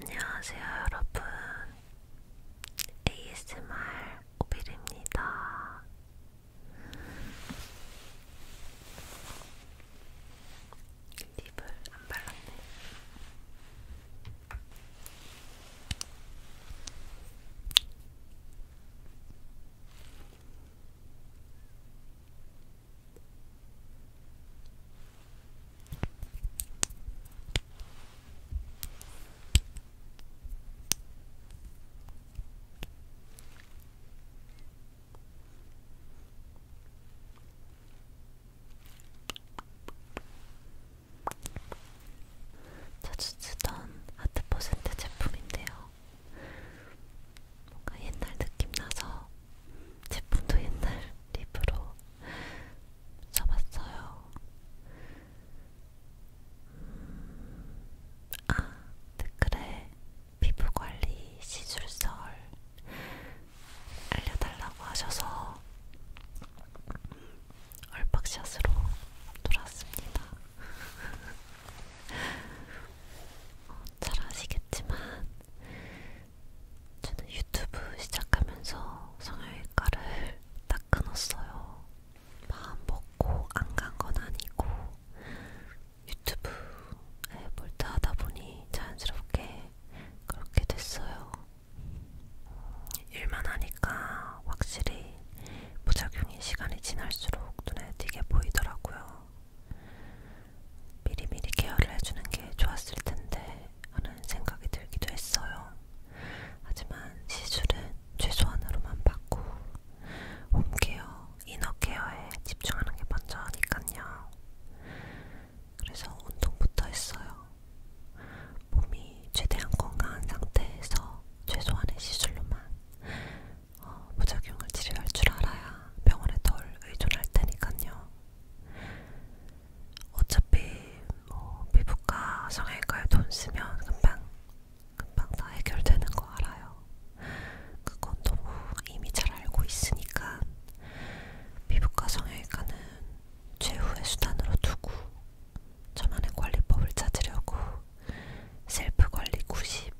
안녕하세요, 여러분. ASMR 오빌입니다. 립을 안 발랐네. 자주 쓰던 아트퍼센트 제품인데요. 뭔가 옛날 느낌 나서 제품도 옛날 립으로 써봤어요. 음, 아, 댓글에 피부관리 시술설 알려달라고 하셔서 얼박샷으로 놀았습니다. 어, 잘 아시겠지만 저는 유튜브 시작하면서 성형외과를 딱 끊었어요. 마음 먹고 안 간 건 아니고 유튜브에 몰두하다 보니 자연스럽게 그렇게 됐어요. 일만 하니까 확실히 부작용이 시간이 지날수록 눈에 띄게 보이더라고요. 미리미리 케어를 해주는 게 좋았을 텐데 하는 생각이 들기도 했어요. 하지만 시술은 최소한으로만 받고 홈케어, 이너케어에 집중하는 게 먼저니깐요. 그래서 운동부터 했어요. 몸이 최대한 건강한 상태에서 최소한의 시술로만 어, 부작용을 치료할 줄 알아야 병원에 덜 의존할 테니까요. 어차피 뭐 피부과, 성형외과에 돈 쓰면 금방 금방 다 해결되는 거 알아요. 그건 너무 이미 잘 알고 있으니까 피부과, 성형외과는 최후의 수단으로 두고 저만의 관리법을 찾으려고 셀프 관리 90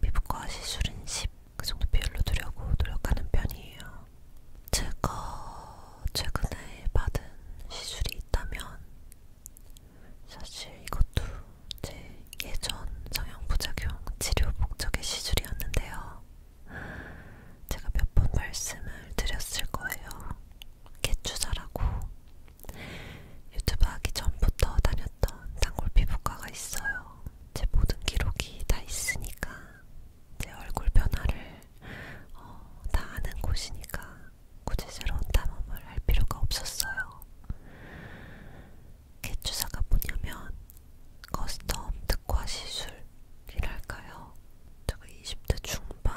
피부과 시술은 10그 정도 비율로 두려고 노력하는 편이에요. 제가 최근에 받은 시술이 있다면 사실 이것도 제 예전 성형부작용 치료 목적의 시술이었는데요. 제가 몇 번 말씀을 드렸을 거예요. 개추사라고 유튜브 하기 전부터 다녔던 단골 피부과가 있어요. 제 모든 기록이 다 있으니까 제 얼굴 변화를 어, 다 아는 곳이니까 굳이 새로운 탐험을 할 필요가 없었어요. 개추사가 뭐냐면 커스텀 특화 시술이랄까요. 제가 20대 중반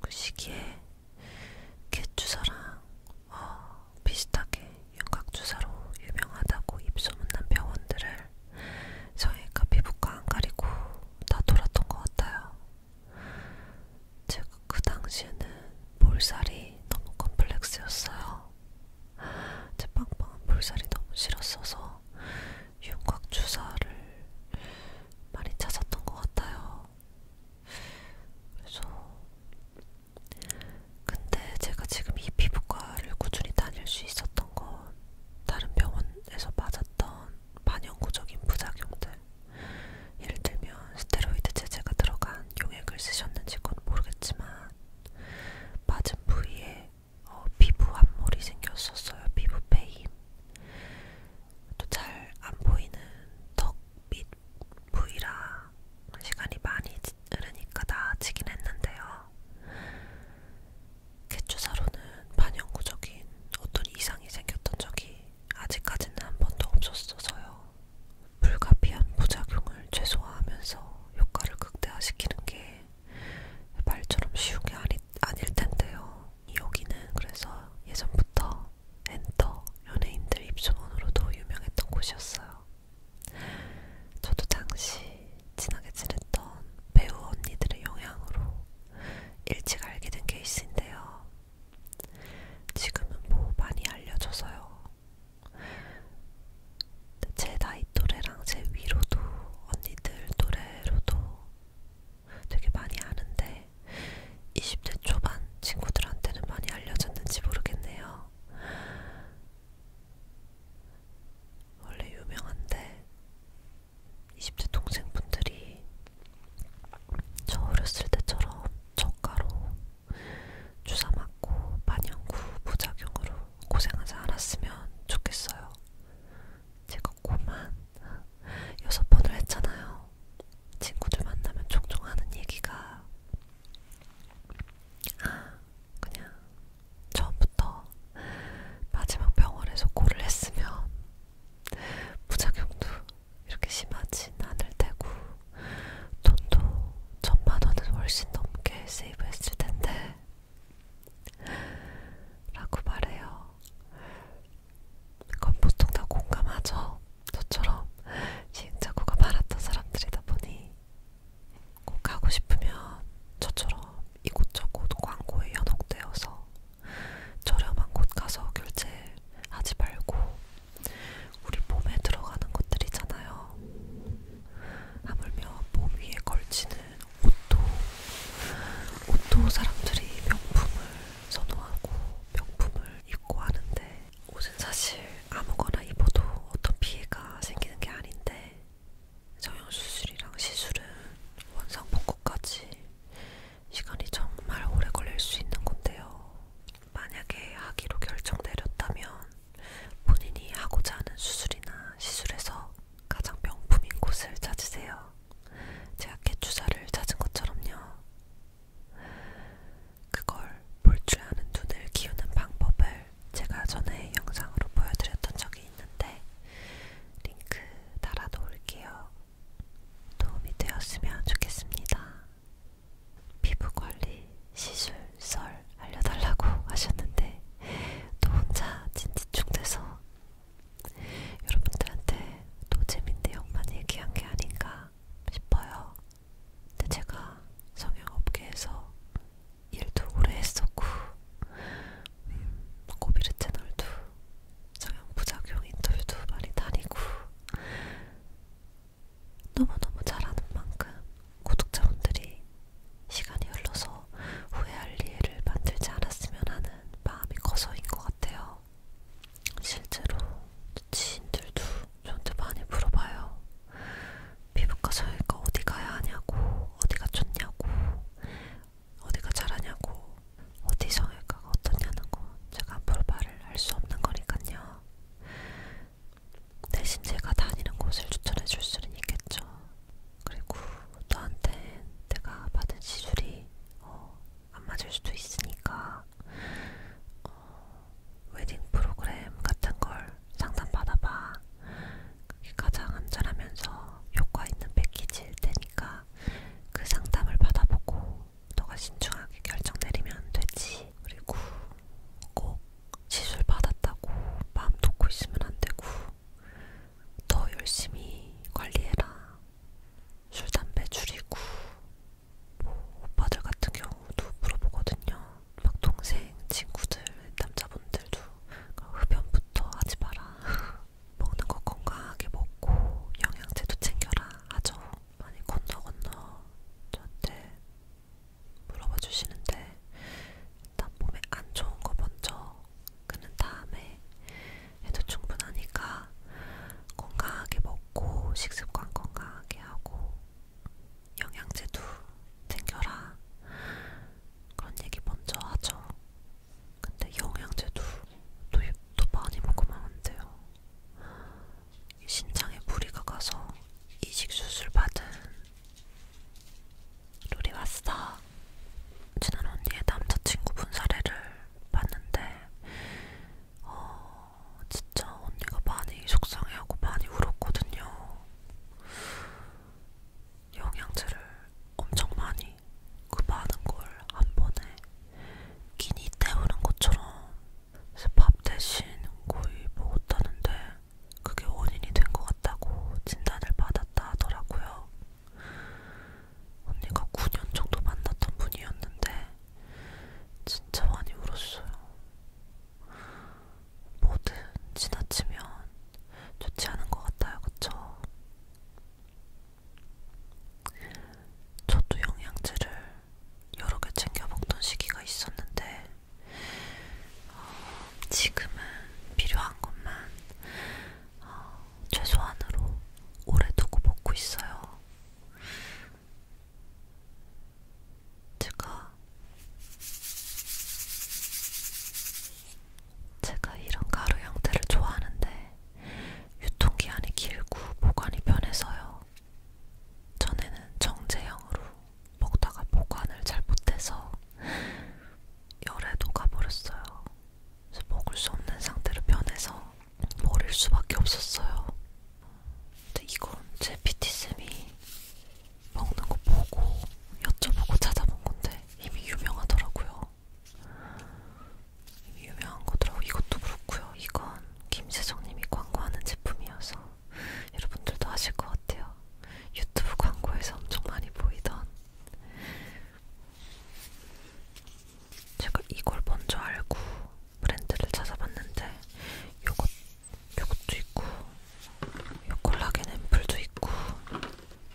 그 시기에 캣주사랑 어, 비슷하게 윤곽주사로 유명하다고 입소문난 병원들을 저희가 피부과 안 가리고 다 돌았던 것 같아요. 제가 그 당시에는 볼살이 너무 컴플렉스였어요. 제 빵빵한 볼살이 너무 싫었어서 윤곽 주사를 많이 찾았던 것 같아요. 그래서 근데 제가 지금 이 피부과를 꾸준히 다닐 수 있었던 건 다른 병원에서 맞았던 반영구적인 부작용들 예를 들면 스테로이드 제제가 들어간 용액을 쓰셨는지 그건 모르겠지만 맞은 부위에 어, 피부 함몰이 생겼었어요. 피부 페임. 또잘 안 보이는 턱및 부위라 시간이 많이 흐르니까 나아지긴 했는데요. 개추사로는 반영구적인 어떤 이상이 생겼던 적이 아직까지는 한 번도 없었어서요. 불가피한 부작용을 최소화하면서 효과를 극대화시키는 게 말처럼 쉬운 게 아니, 아닐 텐데요. 여기는 그래서 예전부터 엔터, 연예인들 입소문으로도 유명했던 곳이었어요. 저도 당시 친하게 지냈던 배우 언니들의 영향으로 일찍 알게 된 케이스인데요. 지금은 뭐 많이 알려져서요. 제 나이 또래랑 제 위로도 언니들 또래로도 되게 많이 아는데 건데 20대 초반 친구들한테는 많이 알려졌는지 모르겠네요. 원래 유명한데 20대 동생분들이 저 어렸을 때처럼 저가로 주사 맞고 반영구 부작용으로 고생하지 않았으면 좋겠어요. 제가 고만 여섯 번을 했잖아요. 친구들 만나면 종종 하는 얘기가 아, 그냥 처음부터 마지막 병원에서 고를 했으면 부작용도 이렇게 심하진 않을 테고 돈도 천만원은 훨씬 넘게 세이브했을 텐데 라고 말해요. 그건 보통 다 공감하죠. 저처럼 시행착오가 많았던 사람들이다 보니 꼭 가고 싶으면 저처럼 이곳저곳 광고에 연옥되어서 저렴한 곳 가서 결제하지 말고 우리 몸에 들어가는 것들이잖아요. 하물며 몸 위에 걸치는 옷도 옷도 사람들이 명품을 선호하고 명품을 입고 하는데 옷은 사실 아무거나 입어도 어떤 피해가 생기는 게 아닌데 정형수술이랑 시술은 원상 복구까지 시간이 정말 오래 걸릴 수 있는 건데요. 만약에 하기로 결정 내렸다면 본인이 하고자 하는 수술이나 시술에서 가장 명품인 곳을 찾으세요. 제가 개주사를 찾은 것처럼요. 그걸 볼 줄 아는 눈을 키우는 방법을 제가 전에 영상으로 보여드렸던 적이 있는데 링크 달아놓을게요. 도움이 되었으면 좋겠습니다. 피부관리, 시술, 썰 알려달라고 하셨는데 또 혼자 진지충돼서 여러분들한테 또 재밌는 내용만 얘기한 게 아닌가 않나 싶어요. 근데 제가 성형업계에서 일도 오래 했었고 음, 고비르 채널도 성형부작용 인터뷰도 많이 다니고 너무너무 잘하는 만큼 구독자분들이 시간이 흘러서 후회할 이해를 만들지 않았으면 하는 마음이 커서인 것 같아요. 있어요. 실제로 지인들도 저한테 많이 물어봐요. 피부과 저희가 어디 가야 하냐고, 어디가 좋냐고, 어디가 잘하냐고, 어디 정형외과가 어떠냐는 거 제가 앞으로 말을 할 수 없는 거니깐요. 대신 제가 다니는 곳을 추천해 줄 수는 있겠죠. 그리고 너한테 내가 받은 시술이 어, 안 맞을 수도 있으니까 어, 웨딩 프로그램 같은 걸 상담받아봐. 그게 가장 안전하면서 효과 있는 패키지일 테니까 그 상담을 받아보고 너가 신중하게 결정 내리면 되지. 그리고 꼭 시술 받았다고 마음 놓고 있으면 안 되고 더 열심히 관리해라. 술, 담배 줄이고 뭐 오빠들 같은 경우도 물어보거든요. 막 동생, 친구들, 남자분들도 그러니까 흡연부터 하지 마라. 먹는 거 건강하게 먹고 영양제도 챙겨라 하죠. 많이 건너 건너 저한테 물어봐 주시는데 일단 몸에 안 좋은 거 먼저 끊은 다음에 해도 충분하니까 건강하게 먹고 식습관 건강하게 하고 영양제도 챙겨라 그런 얘기 먼저 하죠. 근데 영양제도 또, 또 많이 먹으면 안 돼요. 신장에 무리가 가서 이식수술 받은 룰이 왔어. 지난 언니의 남자친구 분 사례를 봤는데 어, 진짜 언니가 많이 속상해하고 많이 울었거든요. 영양제를 엄청 많이 그 많은 걸 한 번에 끼니 때우는 것처럼 밥 대신 거의 먹었다는데 그게 원인이 된 것 같다고 진단을 받았다 하더라고요. 언니가 9년 정도 만났던 분이었는데 진짜 많이 울었어요. 뭐든 지나치면 좋지 않은 것 같아요, 그쵸? 저도 영양제를 여러 개 챙겨 먹던 시기가 있었는데 어, 지금은 필요한 것만 어, 최소한으로 오래 두고 먹고 있어요. 제가 제가 이런 가루 형태를 좋아하는데 유통기한이 길고 보관이 편해서요. 전에는 정제형으로 먹다가 보관을 잘 못해서 열에 녹아버렸어요. 그래서 먹을 수 없는 상태로 변해서 버릴 수밖에 없었어요. 근데 이건 제 PT쌤이 먹는 거 보고 여쭤보고 찾아본 건데 이미 유명하더라고요. 이미 유명한 거더라고 이것도 그렇고요. 이건 김세정님이 광고하는 제품이어서 여러분들도 아실 것 같아요. 유튜브 광고에서 엄청 많이 보이던 제가 이걸 먼저 알고 브랜드를 찾아봤는데 요것, 요것도 있고 요 콜라겐 앰플도 있고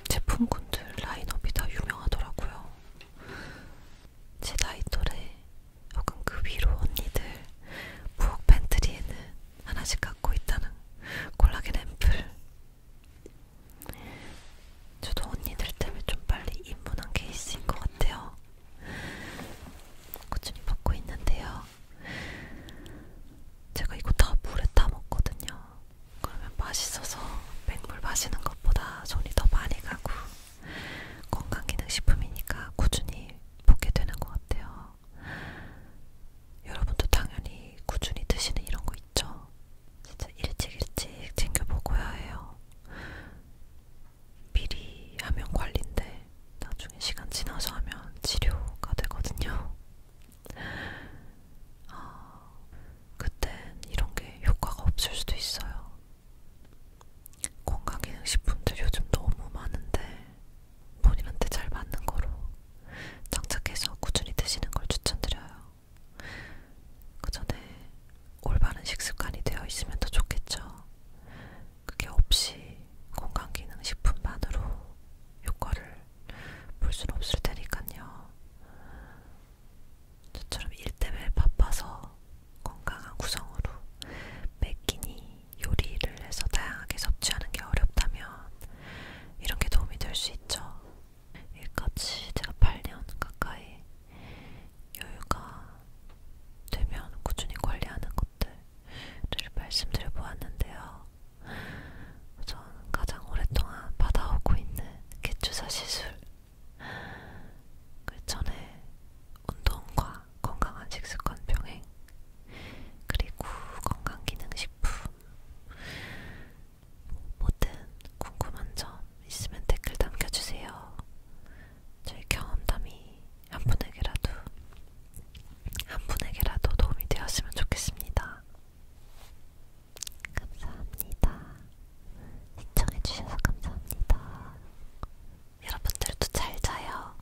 제품군들 라인업이 다 유명하더라고요. 제 나이 또래 혹은 그 위로 언니들 부엌 팬트리에는 하나씩 갖고 있다는 콜라겐 앰플 저도 언니들 때문에 좀 빨리 입문한 케이스인 것 같아요. 꾸준히 먹고 있는데요. 제가 이거 다 물에 타 먹거든요. 그러면 맛있어서 맹물 마시는 것보다 손이 더 많이 가고 건강기능식품이니까 꾸준히 먹게 되는 것 같아요. 여러분도 당연히 꾸준히 드시는 이런 거 있죠? 진짜 일찍 일찍 챙겨보고야 해요. 미리 하면 관리인데 나중에 시간 지나서 하면 치료가 되거든요. 아, 그땐 이런 게 효과가 없을 수도 있어요. 건강기능식품들 요즘 너무 많은데 본인한테 잘 맞는 거로 장착해서 꾸준히 드시는 걸 추천드려요. 그 전에 올바른 식습관이 되어 있으면 더 좋겠죠. 그게 없이 건강기능식품만으로 효과를 볼 수는 없을 테니까요. 저처럼 일 때문에 바빠서 건강한 구성으로 매 끼니 요리를 해서 다양하게 섭취하는 게 어렵다면 이런 게 도움이 될 수 있죠. 여기까지 제가 8년 가까이 여유가 되면 꾸준히 관리하는 것들을 말씀드려 보았는데요. 전 가장 오랫동안 받아오고 있는 개추사 시술. 그 전에 운동과 건강한 식습관 병행, 그리고 건강기능식품, 뭐든 궁금한 점 있으면 댓글 남겨주세요. 저희 경험담이 한 분에게라도 한 분에게라도 도움이 되었으면 좋겠습니다. 감사합니다. 시청해주셔서 감사합니다. 여러분들도 잘 자요.